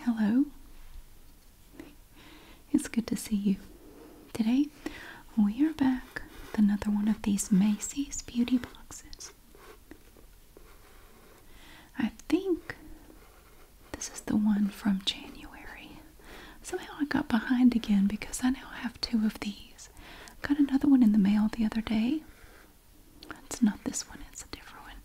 Hello. It's good to see you. Today we are back with another one of these Macy's beauty boxes. I think this is the one from January. Somehow I got behind again because I now have two of these. Got another one in the mail the other day. It's not this one, it's a different one.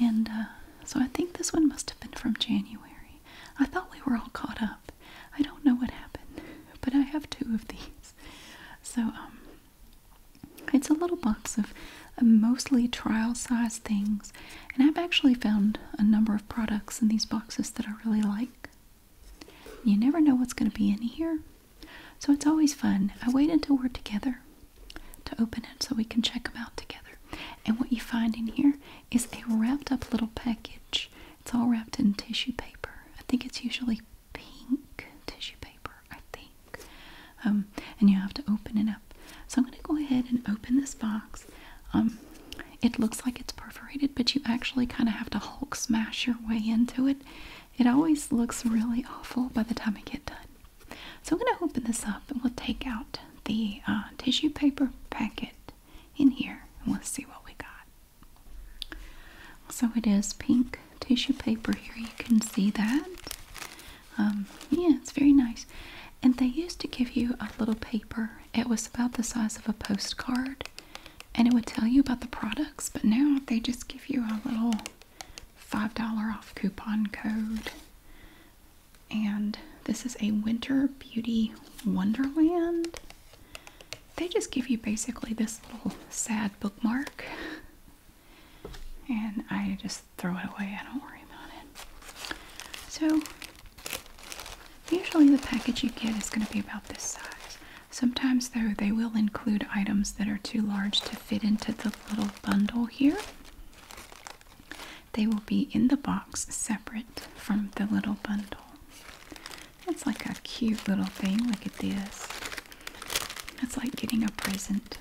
And uh, so I think this one must have been from January. I thought we were all caught up. I don't know what happened, but I have two of these. So, um, it's a little box of mostly trial size things, and I've actually found a number of products in these boxes that I really like. You never know what's going to be in here. So it's always fun. I wait until we're together to open it so we can check them out together. And what you find in here is a wrapped up little package. It's all wrapped in tissue paper. I think it's usually pink tissue paper, I think. Um, and you have to open it up. So I'm going to go ahead and open this box. Um, it looks like it's perforated, but you actually kind of have to Hulk smash your way into it. It always looks really awful by the time I get done. So I'm going to open this up and we'll take out the uh, tissue paper packet in here and we'll see what we got. So it is pink tissue paper here. You can see that. Um, yeah, it's very nice. And they used to give you a little paper it was about the size of a postcard and it would tell you about the products, but now they just give you a little $5 off coupon code. And this is a Winter Beauty Wonderland. They just give you basically this little sad bookmark. And I just throw it away. I don't worry about it. So Usually the package you get is going to be about this size. Sometimes though they will include items that are too large to fit into the little bundle here. They will be in the box separate from the little bundle. That's like a cute little thing. Look at this. That's like getting a present.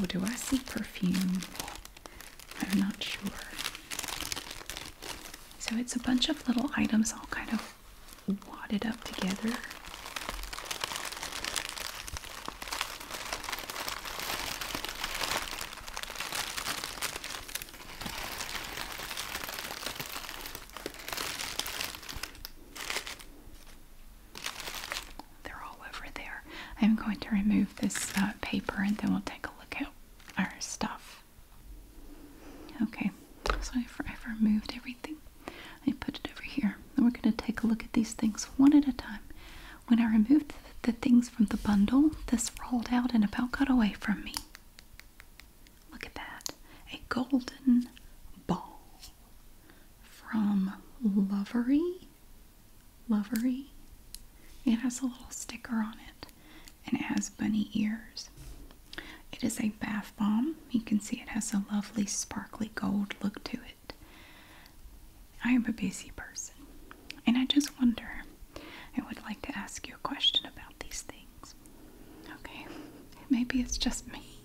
Oh, do I see perfume? I'm not sure. So it's a bunch of little items all kind of wadded up together they're all over there. I'm going to remove this uh, paper and then we'll take a look at our stuff. Okay, so I've, removed everything. I put it over here. And we're going to take a look at these things one at a time. When I removed the, the things from the bundle, this rolled out and about got away from me. Look at that. A golden ball from Lovery Lovely. It has a little sticker on it and it has bunny ears. It is a bath bomb. You can see it has a lovely sparkly gold look to it. I am a busy person and I just wonder. I would like to ask you a question about these things. Okay, maybe it's just me.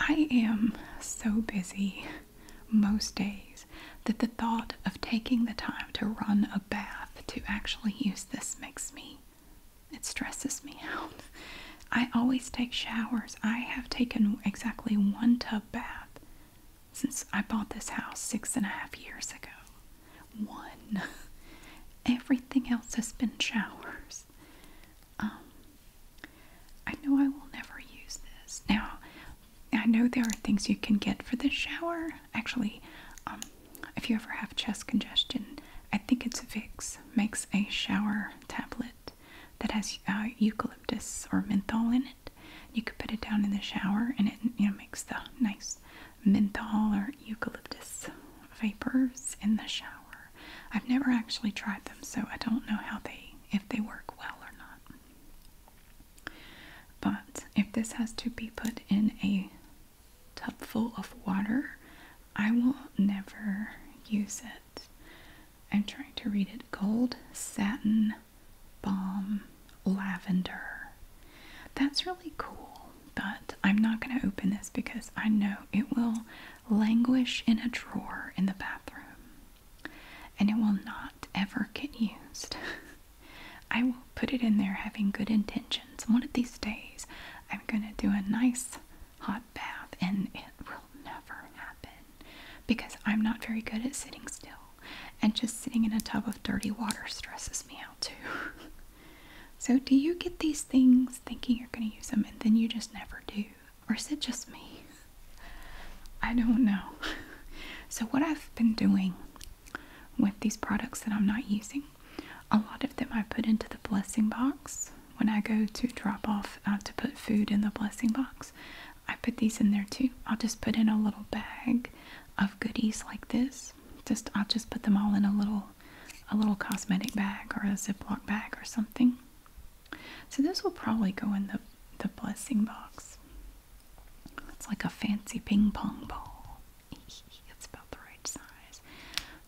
I am so busy most days that the thought of taking the time to run a bath to actually use this makes me it stresses me out. I always take showers. I have taken exactly one tub bath since I bought this house six and a half years ago. One. Everything else has been showers. Um, I know I will never use this. Now, I know there are things you can get for the shower. Actually, um, if you ever have chest congestion, I think it's a fix makes a shower tablet that has uh, eucalyptus or menthol in it. You could put it down in the shower, and it you know makes the nice menthol or eucalyptus vapors in the shower. I've never actually tried them, so I don't know how they if they work well or not. But if this has to be put in a tub full of water, I will never use it. I'm trying to read it gold, satin, balm, lavender. That's really cool, but I'm not going to open this because I know it will languish in a drawer in the bathroom and it will not ever get used. I will put it in there having good intentions. One of these days, I'm going to do a nice hot bath, and it will never happen because I'm not very good at sitting still. And just sitting in a tub of dirty water stresses me out too. so, do you get these things thinking you're going to use them and then you just never do? Or is it just me? I don't know. So, what I've been doing with these products that I'm not using, a lot of them I put into the blessing box. When I go to drop off uh, to put food in the blessing box, I put these in there too. I'll just put in a little bag of goodies like this. Just I'll just put them all in a little a little cosmetic bag or a Ziploc bag or something. So this will probably go in the the blessing box. It's like a fancy ping pong ball. it's about the right size.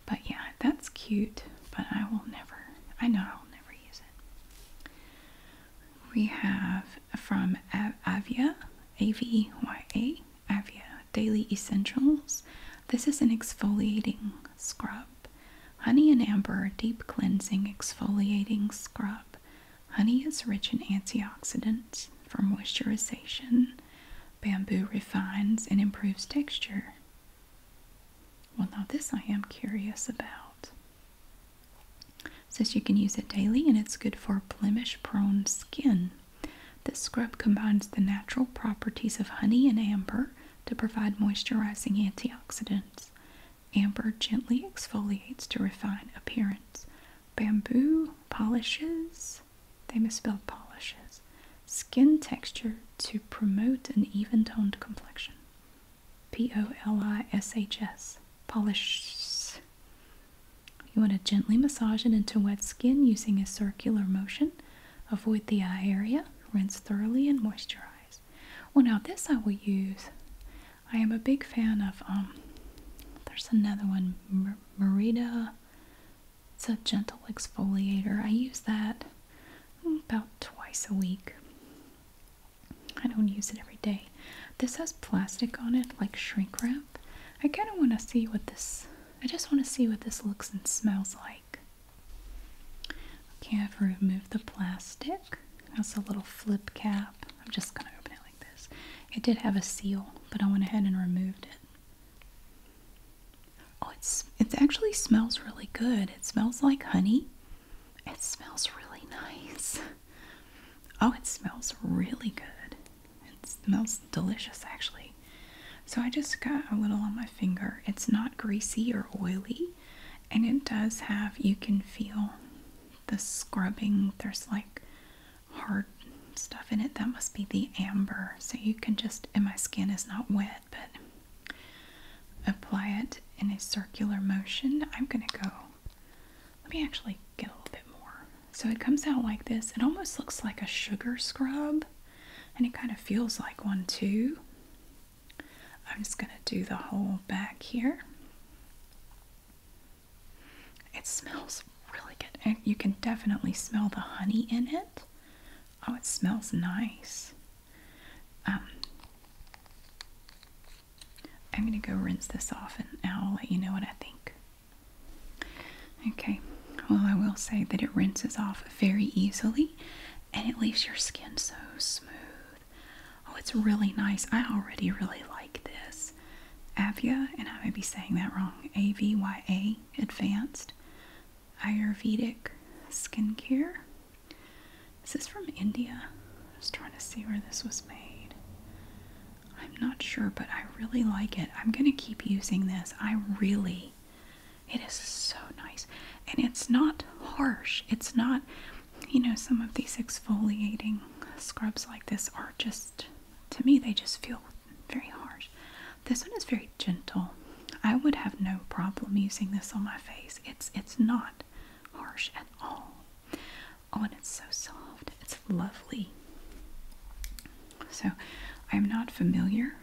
But yeah, that's cute, but I will never I know I'll never use it. We have from Avia, A V Y A, Avia Daily Essentials. This is an exfoliating scrub. Honey and amber deep cleansing exfoliating scrub. Honey is rich in antioxidants for moisturization. Bamboo refines and improves texture. Well, now this I am curious about. says you can use it daily and it's good for blemish prone skin. This scrub combines the natural properties of honey and amber to provide moisturizing antioxidants. Amber gently exfoliates to refine appearance. Bamboo polishes, they misspelled polishes, skin texture to promote an even toned complexion. P O L I S H S, polishes. You want to gently massage it into wet skin using a circular motion. Avoid the eye area, rinse thoroughly, and moisturize. Well, now this I will use. I am a big fan of um. There's another one, Mer Merida. It's a gentle exfoliator. I use that about twice a week. I don't use it every day. This has plastic on it, like shrink wrap. I kind of want to see what this. I just want to see what this looks and smells like. Okay, I've removed the plastic. That's a little flip cap. I'm just going to open it like this. It did have a seal, but I went ahead and removed it. Oh, it's it actually smells really good. It smells like honey. It smells really nice. Oh, it smells really good. It smells delicious actually. So I just got a little on my finger. It's not greasy or oily and it does have you can feel the scrubbing there's like hard stuff in it that must be the amber so you can just and my skin is not wet but apply it in a circular motion i'm gonna go let me actually get a little bit more so it comes out like this it almost looks like a sugar scrub and it kind of feels like one too I'm just going to do the whole back here. It smells really good. And you can definitely smell the honey in it. Oh, it smells nice. Um, I'm going to go rinse this off and I'll let you know what I think. Okay, well, I will say that it rinses off very easily and it leaves your skin so smooth. Oh, it's really nice. I already really like this. Avya, and I may be saying that wrong, AVYA, Advanced Ayurvedic Skincare. This Is from India? I am just trying to see where this was made. I'm not sure, but I really like it. I'm going to keep using this. I really, it is so nice. And it's not harsh. It's not, you know, some of these exfoliating scrubs like this are just, to me, they just feel very harsh. This one is very gentle. I would have no problem using this on my face. It's it's not harsh at all. Oh, and it's so soft. It's lovely. So, I am not familiar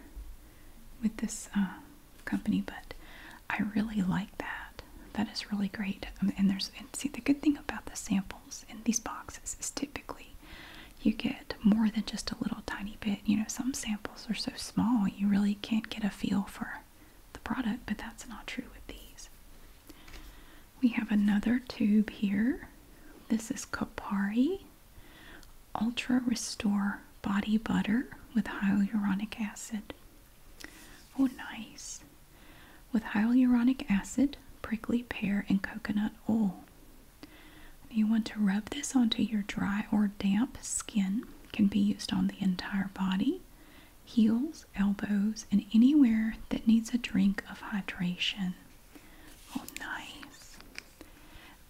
with this uh, company, but I really like that. That is really great. Um, and there's and see the good thing about the samples in these boxes is typically you get more than just a little tiny bit. You know, some samples are so small you really can't get a feel for the product, but that's not true with these. We have another tube here. This is Kapari Ultra Restore Body Butter with hyaluronic acid. Oh, nice with hyaluronic acid, prickly pear, and coconut oil. You want to rub this onto your dry or damp skin, can be used on the entire body, heels, elbows, and anywhere that needs a drink of hydration. Oh, nice.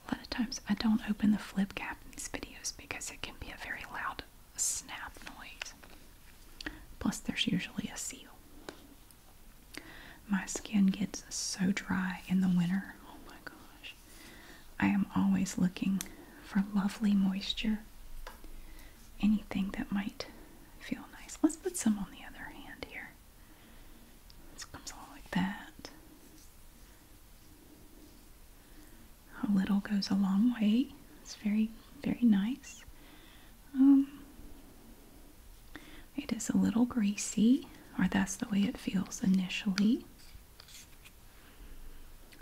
A lot of times I don't open the flip cap in these videos because it can be a very loud a snap noise. Plus, there's usually a seal. My skin gets so dry in the winter. Oh my gosh. I am always looking for lovely moisture. Anything that might feel nice. Let's put some on the other hand here. This comes along like that. A little goes a long way. It's very, very nice. Um, it is a little greasy, or that's the way it feels initially.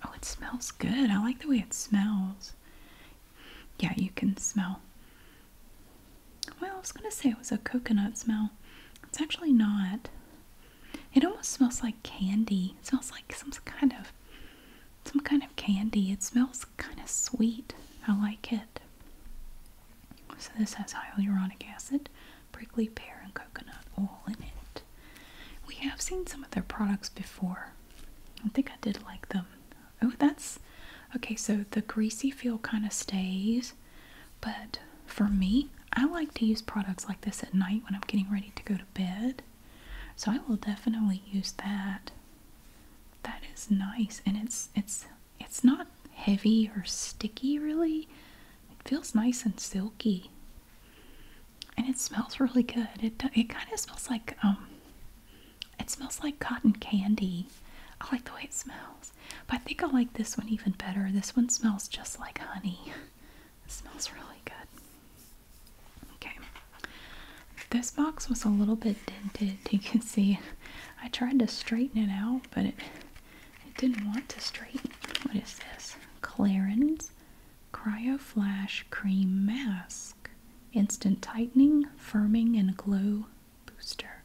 Oh, it smells good. I like the way it smells. Yeah, you can smell. Well, I was going to say it was a coconut smell. It's actually not. It almost smells like candy. smells like some kind of some kind of candy. It smells kind of sweet. I like it. So this has hyaluronic acid, prickly pear, and coconut oil in it. We have seen some of their products before. I think I did like them. Oh, that's okay. So the greasy feel kind of stays, but for me, I like to use products like this at night when I'm getting ready to go to bed. So I will definitely use that. That is nice and it's it's it's not heavy or sticky really. It feels nice and silky. And it smells really good. It it kind of smells like um it smells like cotton candy. I like the way it smells. But I think I like this one even better. This one smells just like honey. It smells really good. Okay. This box was a little bit dented. You can see I tried to straighten it out, but it didn't want to straighten. What is this? Clarins Cryo Flash Cream Mask. Instant tightening, firming, and glow booster.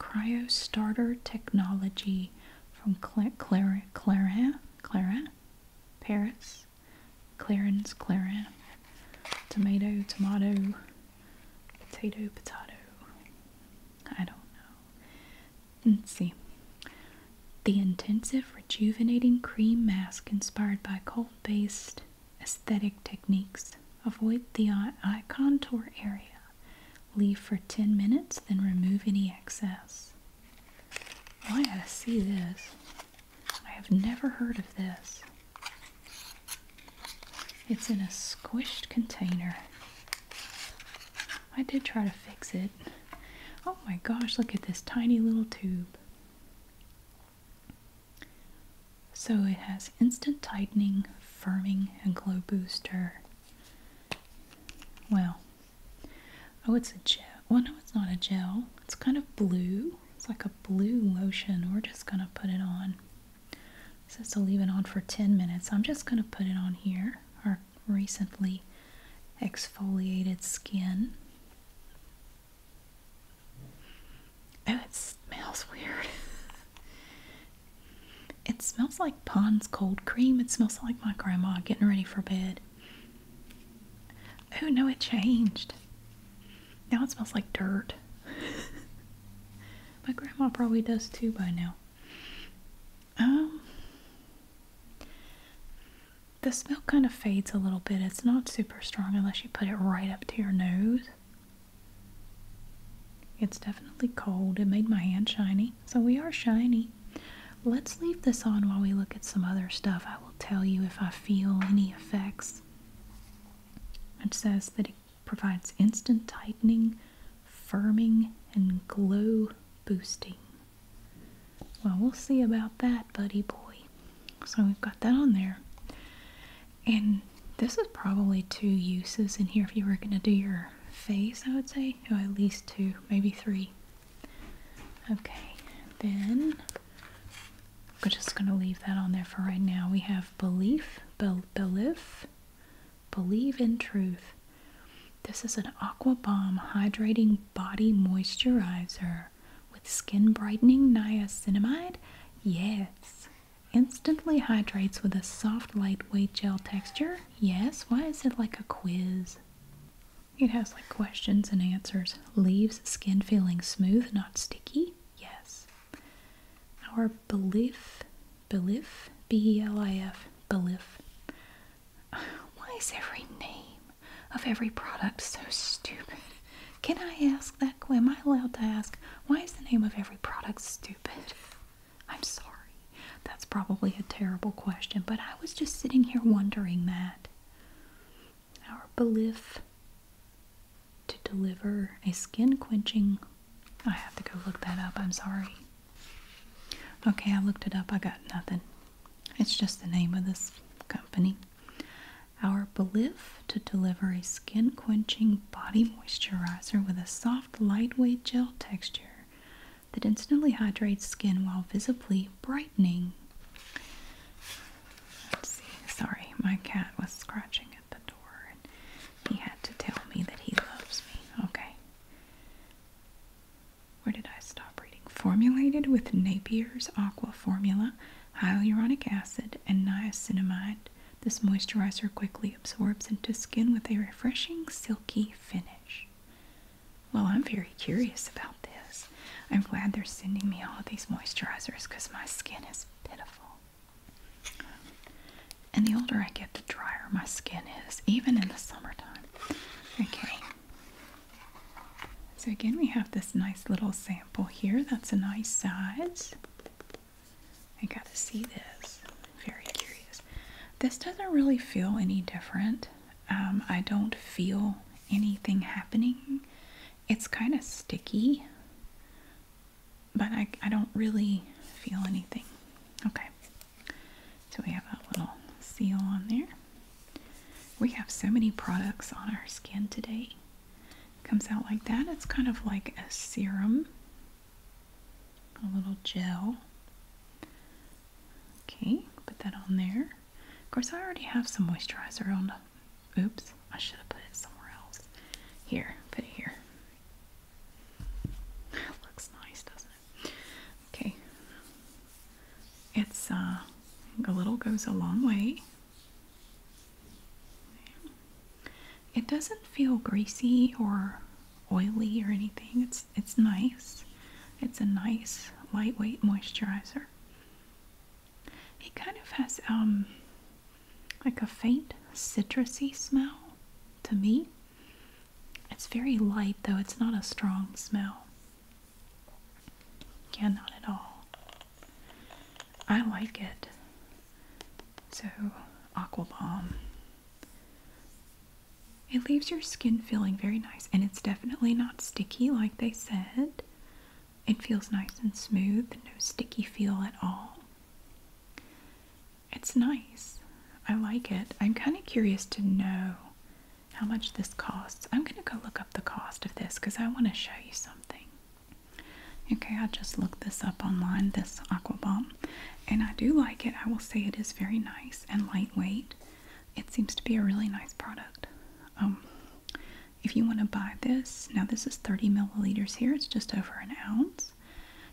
Cryo Starter Technology from Clara Clara Clara Paris is Clarence Tomato, tomato, potato, potato. I don't know. Let's see. The intensive rejuvenating cream mask inspired by cold based aesthetic techniques. Avoid the eye contour area. Leave for 10 minutes, then remove any excess. Oh, I gotta see this. I have never heard of this. It's in a squished container. I did try to fix it. Oh my gosh, look at this tiny little tube. So it has instant tightening, firming, and glow booster. Well, oh, it's a gel. Well, no, it's not a gel. It's kind of blue. It's like a blue lotion. We're just going to put it on. It says to leave it on for 10 minutes. I'm just going to put it on here. Our recently exfoliated skin. Oh, it smells weird. it smells like Pond's cold cream. It smells like my grandma getting ready for bed. Oh no, it changed. Now it smells like dirt. My grandma probably does too by now. Um, the smell kind of fades a little bit. It's not super strong unless you put it right up to your nose. It's definitely cold. It made my hand shiny. So we are shiny. Let's leave this on while we look at some other stuff. I will tell you if I feel any effects. It says that it provides instant tightening, firming, and glow boosting. Well, we'll see about that, buddy boy. So we've got that on there. And this is probably two uses in here if you were going to do your face, I would say. Oh, at least two, maybe three. Okay, then we're just going to leave that on there for right now. We have belief, belief, believe in truth. This is an Aqua Bomb Hydrating Body Moisturizer with Skin Brightening Niacinamide. Yes. Instantly hydrates with a soft, lightweight gel texture. Yes. Why is it like a quiz? It has like questions and answers leaves skin feeling smooth, not sticky? Yes. Our belief, belief, B-E-L-I-F, belief. Why is every name of every product so stupid? Can I ask that? Am I allowed to ask? Why is the name of every product stupid? I'm sorry. That's probably a terrible question, but I was just sitting here wondering that our belief to deliver a skin quenching. I have to go look that up. I'm sorry. Okay, I looked it up. I got nothing. It's just the name of this company. Our belief to deliver a skin quenching body moisturizer with a soft, lightweight gel texture that instantly hydrates skin while visibly brightening. Let's see. Sorry, my cat was scratching at the door and he had to tell me that he loves me. Okay. Where did I stop reading? Formulated with Napier's Aqua Formula, hyaluronic acid, and niacinamide, this moisturizer quickly absorbs into skin with a refreshing silky finish. Well, I'm very curious about this. I'm glad they're sending me all these moisturizers because my skin is pitiful. And the older I get, the drier my skin is, even in the summertime. Okay. So, again, we have this nice little sample here. That's a nice size. I got to see this. Very curious. This doesn't really feel any different. Um, I don't feel anything happening it's kind of sticky, but I, I don't really feel anything. Okay, so we have a little seal on there. We have so many products on our skin today. comes out like that. It's kind of like a serum, a little gel. Okay, put that on there. Of course, I already have some moisturizer on Oops, I should have put it somewhere else. Here, put it here. Looks nice, doesn't it? Okay. It's uh, a little goes a long way. It doesn't feel greasy or oily or anything. It's it's nice. It's a nice lightweight moisturizer. It kind of has um like a faint citrusy smell to me. It's very light though, it's not a strong smell. Yeah, not at all. I like it. So, Aqua Balm. It leaves your skin feeling very nice and it's definitely not sticky like they said. It feels nice and smooth, no sticky feel at all. It's nice. I like it. I'm kind of curious to know how much this costs. I'm going to go look up the cost of this because I want to show you something. Okay, I will just look this up online, this Aqua Balm, and I do like it. I will say it is very nice and lightweight. It seems to be a really nice product. Um, if you want to buy this, now this is 30 milliliters here, it's just over an ounce.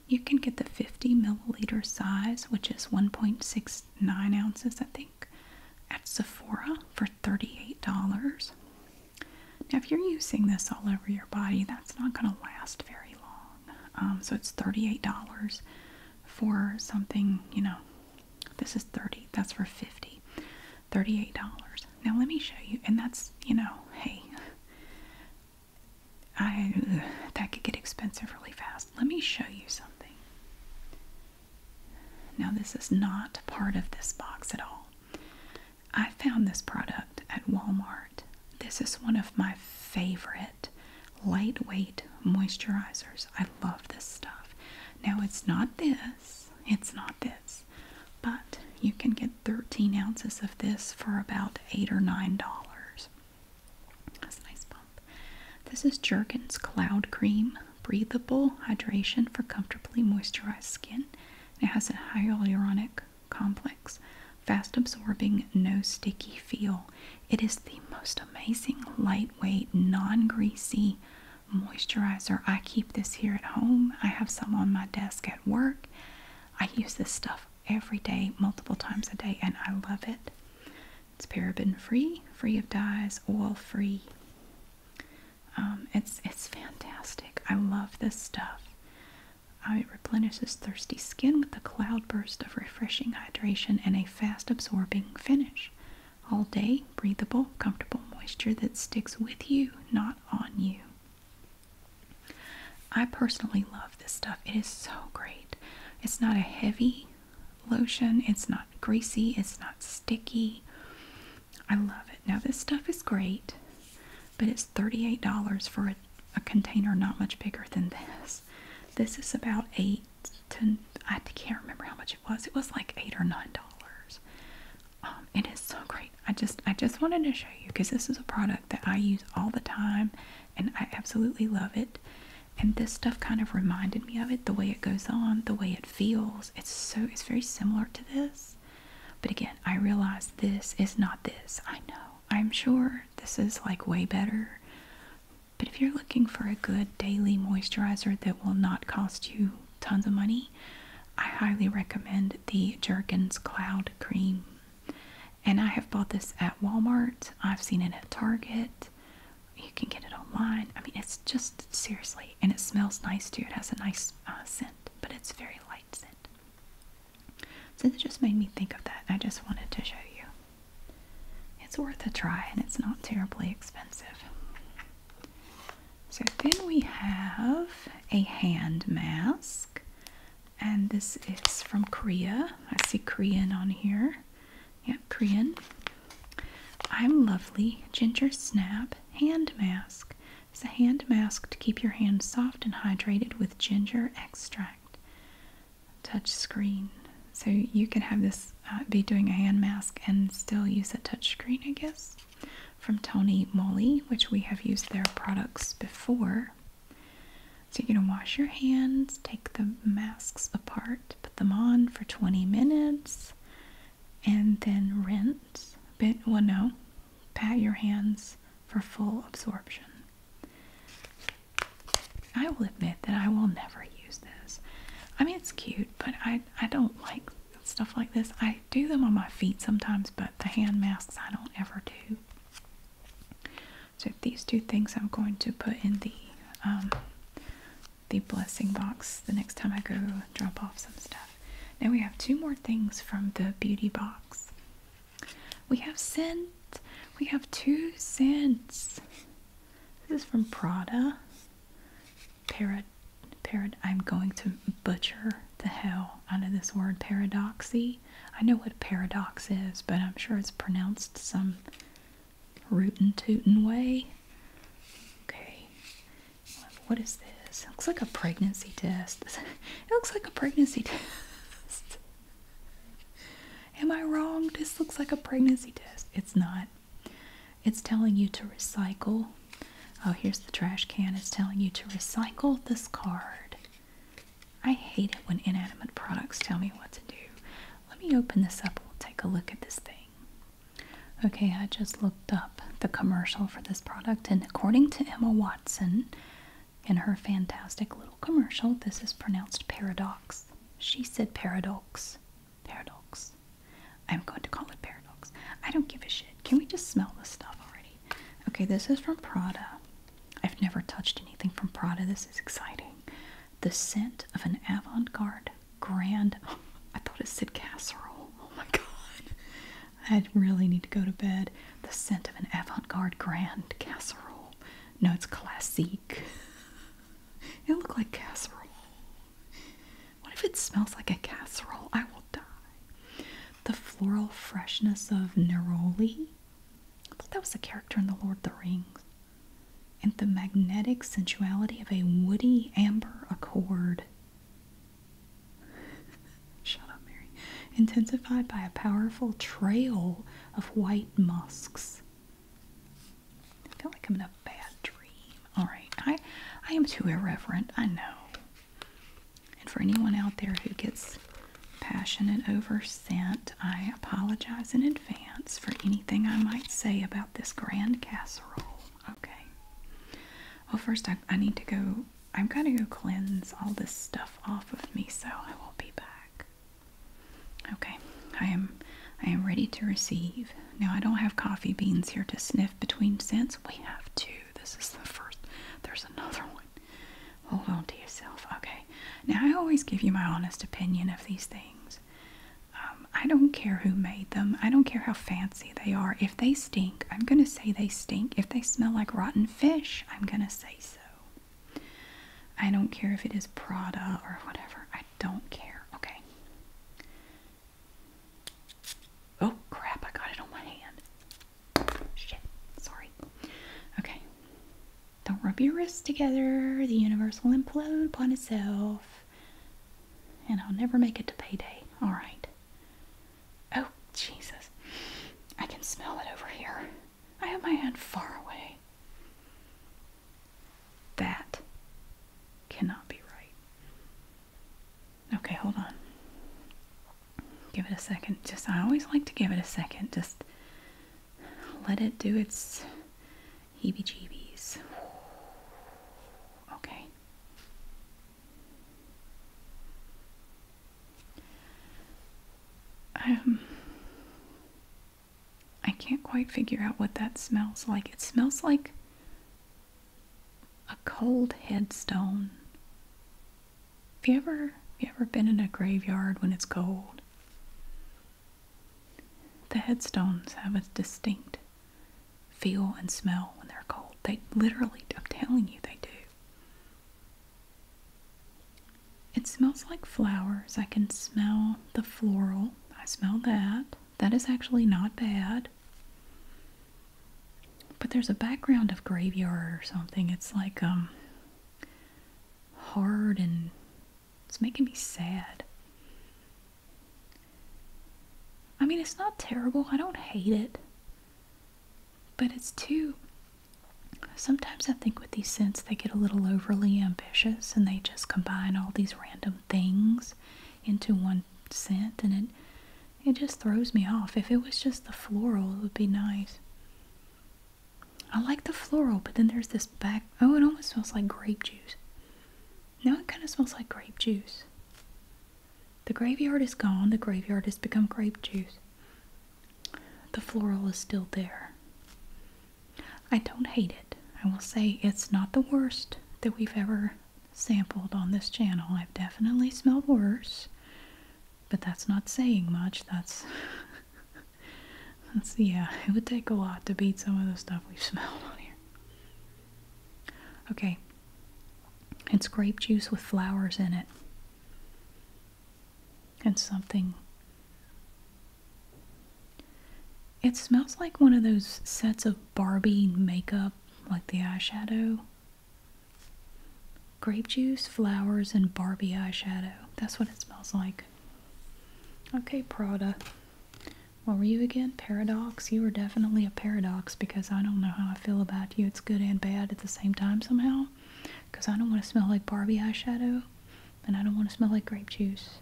You can get the 50 milliliter size, which is 1.69 ounces, I think, at Sephora for $38. Now, if you're using this all over your body, that's not going to last very long. Um, so it's $38 for something, you know, this is 30 that's for 50 $38. Now let me show you, and that's, you know, hey, I that could get expensive really fast. Let me show you something. Now this is not part of this box at all. I found this product at Walmart. This is one of my favorite lightweight moisturizers. I love this stuff. Now it's not this. It's not this. But you can get 13 ounces of this for about 8 or $9. That's a nice bump. This is Jergens Cloud Cream. Breathable hydration for comfortably moisturized skin. It has a hyaluronic complex, fast absorbing, no sticky feel. It is the most amazing, lightweight, non greasy moisturizer. I keep this here at home. I have some on my desk at work. I use this stuff every day, multiple times a day, and I love it. It's paraben free, free of dyes, oil free. Um, it's it's fantastic. I love this stuff. Uh, it replenishes thirsty skin with a cloudburst of refreshing hydration and a fast absorbing finish all day, breathable, comfortable moisture that sticks with you, not on you. I personally love this stuff. It is so great. It's not a heavy lotion, it's not greasy, it's not sticky. I love it. Now, this stuff is great, but it's $38 for a, container not much bigger than this. This is about eight I can't remember how much it was. It was like eight or nine dollars. Um, it is so great. I just I just wanted to show you because this is a product that I use all the time, and I absolutely love it. And this stuff kind of reminded me of it. The way it goes on, the way it feels. It's so it's very similar to this. But again, I realize this is not this. I know. I'm sure this is like way better. But if you're looking for a good daily moisturizer that will not cost you tons of money, I highly recommend the Jergens Cloud Cream. And I have bought this at Walmart. I've seen it at Target. You can get it online. I mean, it's just seriously, and it smells nice too. It has a nice uh, scent, but it's very light scent. So it just made me think of that. I just wanted to show you. It's worth a try, and it's not terribly expensive. So then we have a hand mask, and this is from Korea. I see Korean on here. Yep, Korean. I'm Lovely Ginger Snap Hand Mask. It's a hand mask to keep your hands soft and hydrated with ginger extract. Touch screen. So you can have this uh, be doing a hand mask and still use a touch screen, I guess from Tony Molly, which we have used their products before. So you're going to wash your hands, take the masks apart, put them on for 20 minutes, and then rinse. But, well, no, pat your hands for full absorption. I will admit that I will never use this. I mean, it's cute, but I, I don't like stuff like this. I do them on my feet sometimes, but the hand masks I don't ever do. So these two things I'm going to put in the um, the blessing box the next time I go drop off some stuff. Now we have two more things from the beauty box. We have scent. We have two scents. This is from Prada. Para parad I'm going to butcher the hell out of this word paradoxy. I know what a paradox is, but I'm sure it's pronounced some rootin' tootin' way. Okay. What is this? looks like a pregnancy test. it looks like a pregnancy test. Am I wrong? This looks like a pregnancy test. It's not. It's telling you to recycle. Oh, here's the trash can. It's telling you to recycle this card. I hate it when inanimate products tell me what to do. Let me open this up we'll take a look at this thing. Okay, I just looked up the commercial for this product, and according to Emma Watson, in her fantastic little commercial, this is pronounced paradox. She said paradox. Paradox. I'm going to call it paradox. I don't give a shit. Can we just smell this stuff already? Okay, this is from Prada. I've never touched anything from Prada. This is exciting. The scent of an avant-garde grand. I thought it said casserole. Oh my god. I really need to go to bed. The scent of an avant-garde grand casserole. No, it's classique. It looked like casserole. What if it smells like a casserole? I will die. The floral freshness of neroli. I thought that was a character in The Lord of the Rings. And the magnetic sensuality of a woody amber accord. Shut up, Mary. Intensified by a powerful trail of white musks. I feel like I'm in a bad dream. Alright, I I am too irreverent, I know. And for anyone out there who gets passionate over scent, I apologize in advance for anything I might say about this grand casserole. Okay. Well, first, I, I need to go, i am going to go cleanse all this stuff off of me, so I will be back. Okay, I am. I am ready to receive. Now, I don't have coffee beans here to sniff between scents. We have two. This is the first. There's another one. Hold on to yourself. Okay. Now, I always give you my honest opinion of these things. Um, I don't care who made them. I don't care how fancy they are. If they stink, I'm going to say they stink. If they smell like rotten fish, I'm going to say so. I don't care if it is Prada or whatever. I don't care. Okay. Oh crap, I got it on my hand. Shit, sorry. Okay. Don't rub your wrists together. The universe will implode upon itself. And I'll never make it to payday. Alright. Oh, Jesus. I can smell it over here. I have my hand far away. That cannot be right. Okay, hold on. Give it a second. Just, I always like to give it a second. Just let it do its heebie jeebies. Okay. Um, I can't quite figure out what that smells like. It smells like a cold headstone. Have you ever have you ever been in a graveyard when it's cold? The headstones have a distinct feel and smell when they're cold. They literally, I'm telling you, they do. It smells like flowers. I can smell the floral. I smell that. That is actually not bad. But there's a background of graveyard or something. It's like um hard and it's making me sad. I mean, it's not terrible. I don't hate it. But it's too Sometimes I think with these scents they get a little overly ambitious and they just combine all these random things into one scent and it it just throws me off. If it was just the floral, it would be nice. I like the floral, but then there's this back. Oh, it almost smells like grape juice. Now it kind of smells like grape juice. The graveyard is gone. The graveyard has become grape juice. The floral is still there. I don't hate it. I will say it's not the worst that we've ever sampled on this channel. I've definitely smelled worse, but that's not saying much. That's, that's yeah, it would take a lot to beat some of the stuff we've smelled on here. Okay, it's grape juice with flowers in it and something. It smells like one of those sets of Barbie makeup, like the eyeshadow Grape juice, flowers, and Barbie eyeshadow. That's what it smells like. Okay, Prada. What were you again? Paradox? You were definitely a paradox because I don't know how I feel about you. It's good and bad at the same time somehow. Because I don't want to smell like Barbie eyeshadow and I don't want to smell like grape juice.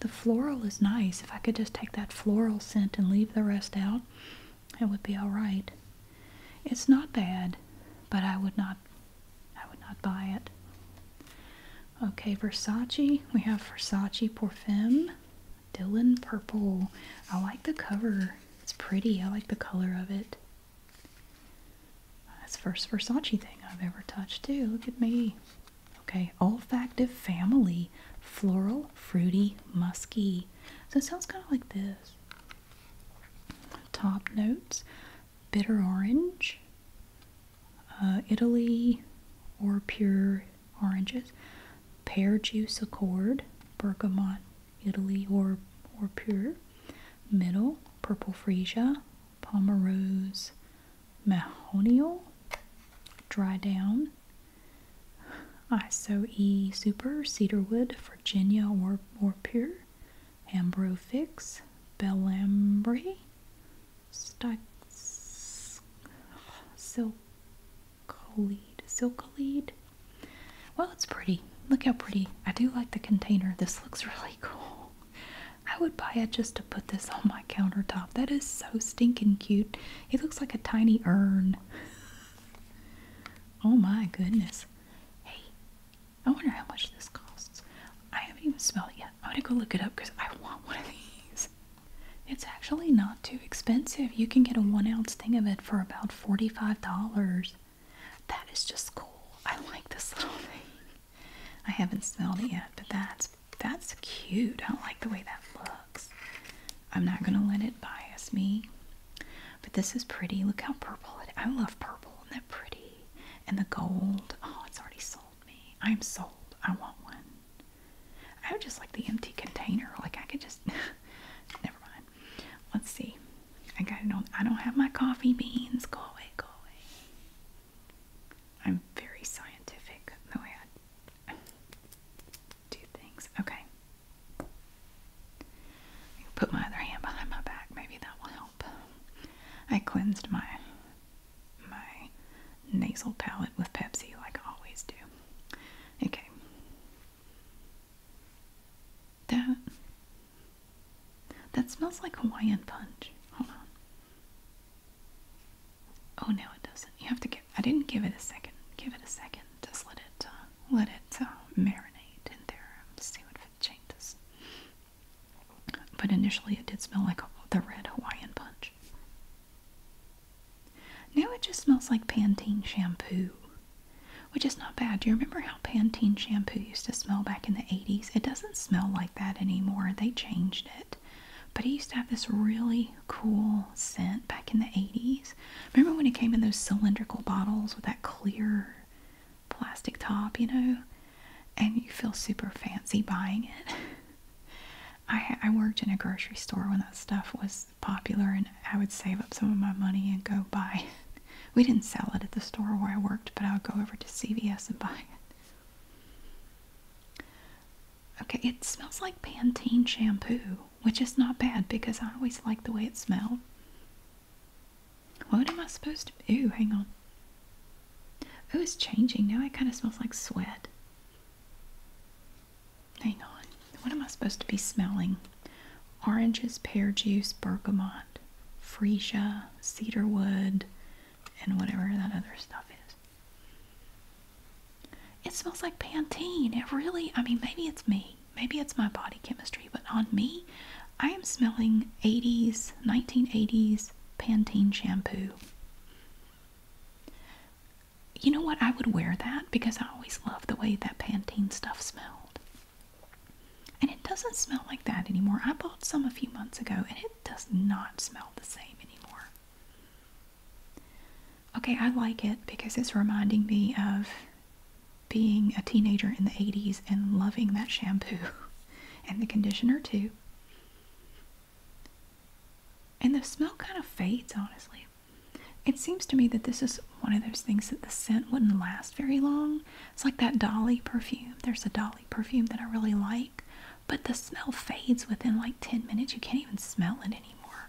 The floral is nice. If I could just take that floral scent and leave the rest out, it would be all right. It's not bad, but I would not I would not buy it. Okay, Versace. We have Versace Parfum. Dylan Purple. I like the cover. It's pretty. I like the color of it. That's the first Versace thing I've ever touched too. Look at me. Okay, olfactive family. Floral, fruity, musky. So it sounds kind of like this. Top notes bitter orange, uh, Italy or pure oranges, pear juice accord, bergamot, Italy or, or pure, middle, purple freesia, palma rose, mahonial, dry down, ISO E Super Cedarwood, Virginia or, or Pure, Ambro Fix, Bellambre, Silklead, Silklead. Well, it's pretty. Look how pretty. I do like the container. This looks really cool. I would buy it just to put this on my countertop. That is so stinking cute. It looks like a tiny urn. Oh my goodness. Hey, I wonder how much this costs. I haven't even smelled it yet. I'm gonna go look it up because I want one of these. It's actually not too expensive. You can get a one ounce thing of it for about $45. That is just cool. I like this little thing. I haven't smelled it yet, but that's that's cute. I don't like the way that looks. I'm not gonna let it bias me. But this is pretty. Look how purple it is. I love purple. and not that pretty? And the gold. Oh, it's already sold me. I'm sold. I want one. I would just like the empty container. Like I could just never mind. Let's see. I got it I don't have my coffee beans. Go away, go away. I'm very scientific the way I do things. Okay. I put my other hand behind my back. Maybe that will help. I cleansed my my nasal palate with Pepsi like I always do. Okay. That that smells like Hawaiian punch. Hold on. Oh no, it doesn't. You have to give. I didn't give it a second. Give it a second. Just let it. Uh, let it uh, marinate in there and see what it changes. But initially, it did smell like the red Hawaiian punch. Now it just smells like Pantene shampoo, which is not bad. Do you remember how Pantene shampoo used to smell back in the 80s? It doesn't smell like that anymore. They changed it. But it used to have this really cool scent back in the 80s. Remember when it came in those cylindrical bottles with that clear plastic top, you know? And you feel super fancy buying it. I, worked in a grocery store when that stuff was popular, and I would save up some of my money and go buy We didn't sell it at the store where I worked, but I would go over to CVS and buy it. Okay, it smells like Pantene shampoo which is not bad because I always like the way it smelled. What am I supposed to? Ooh, hang on. Oh, it's changing now. It kind of smells like sweat. Hang on. What am I supposed to be smelling? Oranges, pear juice, bergamot, freesia, cedarwood, and whatever that other stuff is. It smells like Pantene. It really, I mean, maybe it's me maybe it's my body chemistry, but on me, I am smelling 80s, 1980s Pantene shampoo. You know what? I would wear that because I always love the way that Pantene stuff smelled. And it doesn't smell like that anymore. I bought some a few months ago and it does not smell the same anymore. Okay, I like it because it's reminding me of being a teenager in the 80s and loving that shampoo and the conditioner too. And the smell kind of fades, honestly. It seems to me that this is one of those things that the scent wouldn't last very long. It's like that Dolly perfume. There's a Dolly perfume that I really like, but the smell fades within like 10 minutes. You can't even smell it anymore.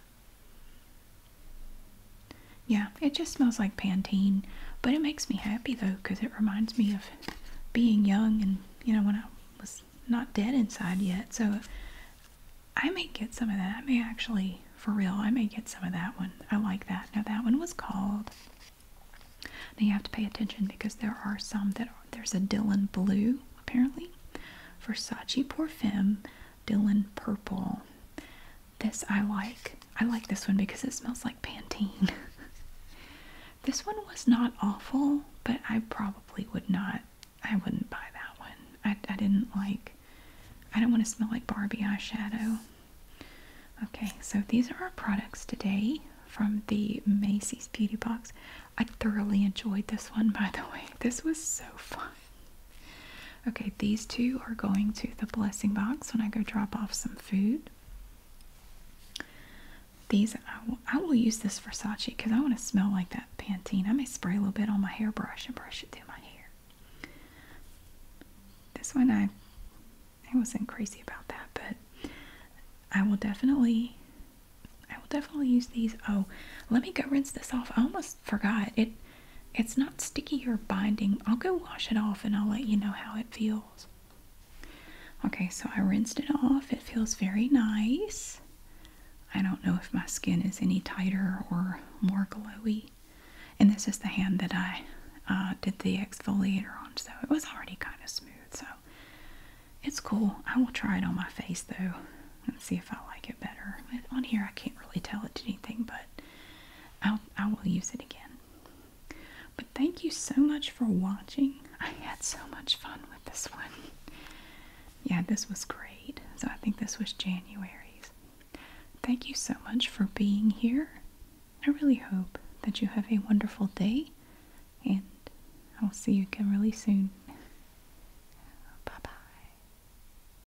Yeah, it just smells like Pantene, but it makes me happy though because it reminds me of being young and you know when I was not dead inside yet. So I may get some of that. I may actually, for real, I may get some of that one. I like that. Now that one was called. Now you have to pay attention because there are some that are, there's a Dylan Blue apparently, Versace Parfum, Dylan Purple. This I like. I like this one because it smells like Pantene. this one was not awful, but I probably would not. I wouldn't buy that one. I, didn't like. I don't want to smell like Barbie eyeshadow. Okay, so these are our products today from the Macy's Beauty Box. I thoroughly enjoyed this one, by the way. This was so fun. Okay, these two are going to the blessing box when I go drop off some food. These, I will, use this Versace because I want to smell like that Pantene. I may spray a little bit on my hairbrush and brush it through my hair. This one, I, I wasn't crazy about that, but I will definitely, I will definitely use these. Oh, let me go rinse this off. I almost forgot. It it's not sticky or binding. I'll go wash it off and I'll let you know how it feels. Okay, so I rinsed it off. It feels very nice. I don't know if my skin is any tighter or more glowy. And this is the hand that I uh, did the exfoliator on, so it was already kind of smooth. So it's cool. I will try it on my face though and see if I like it better. on here, I can't really tell it did anything, but I'll, I will use it again. But thank you so much for watching. I had so much fun with this one. Yeah, this was great. So I think this was January's. Thank you so much for being here. I really hope that you have a wonderful day, and I'll see you again really soon. Bye bye.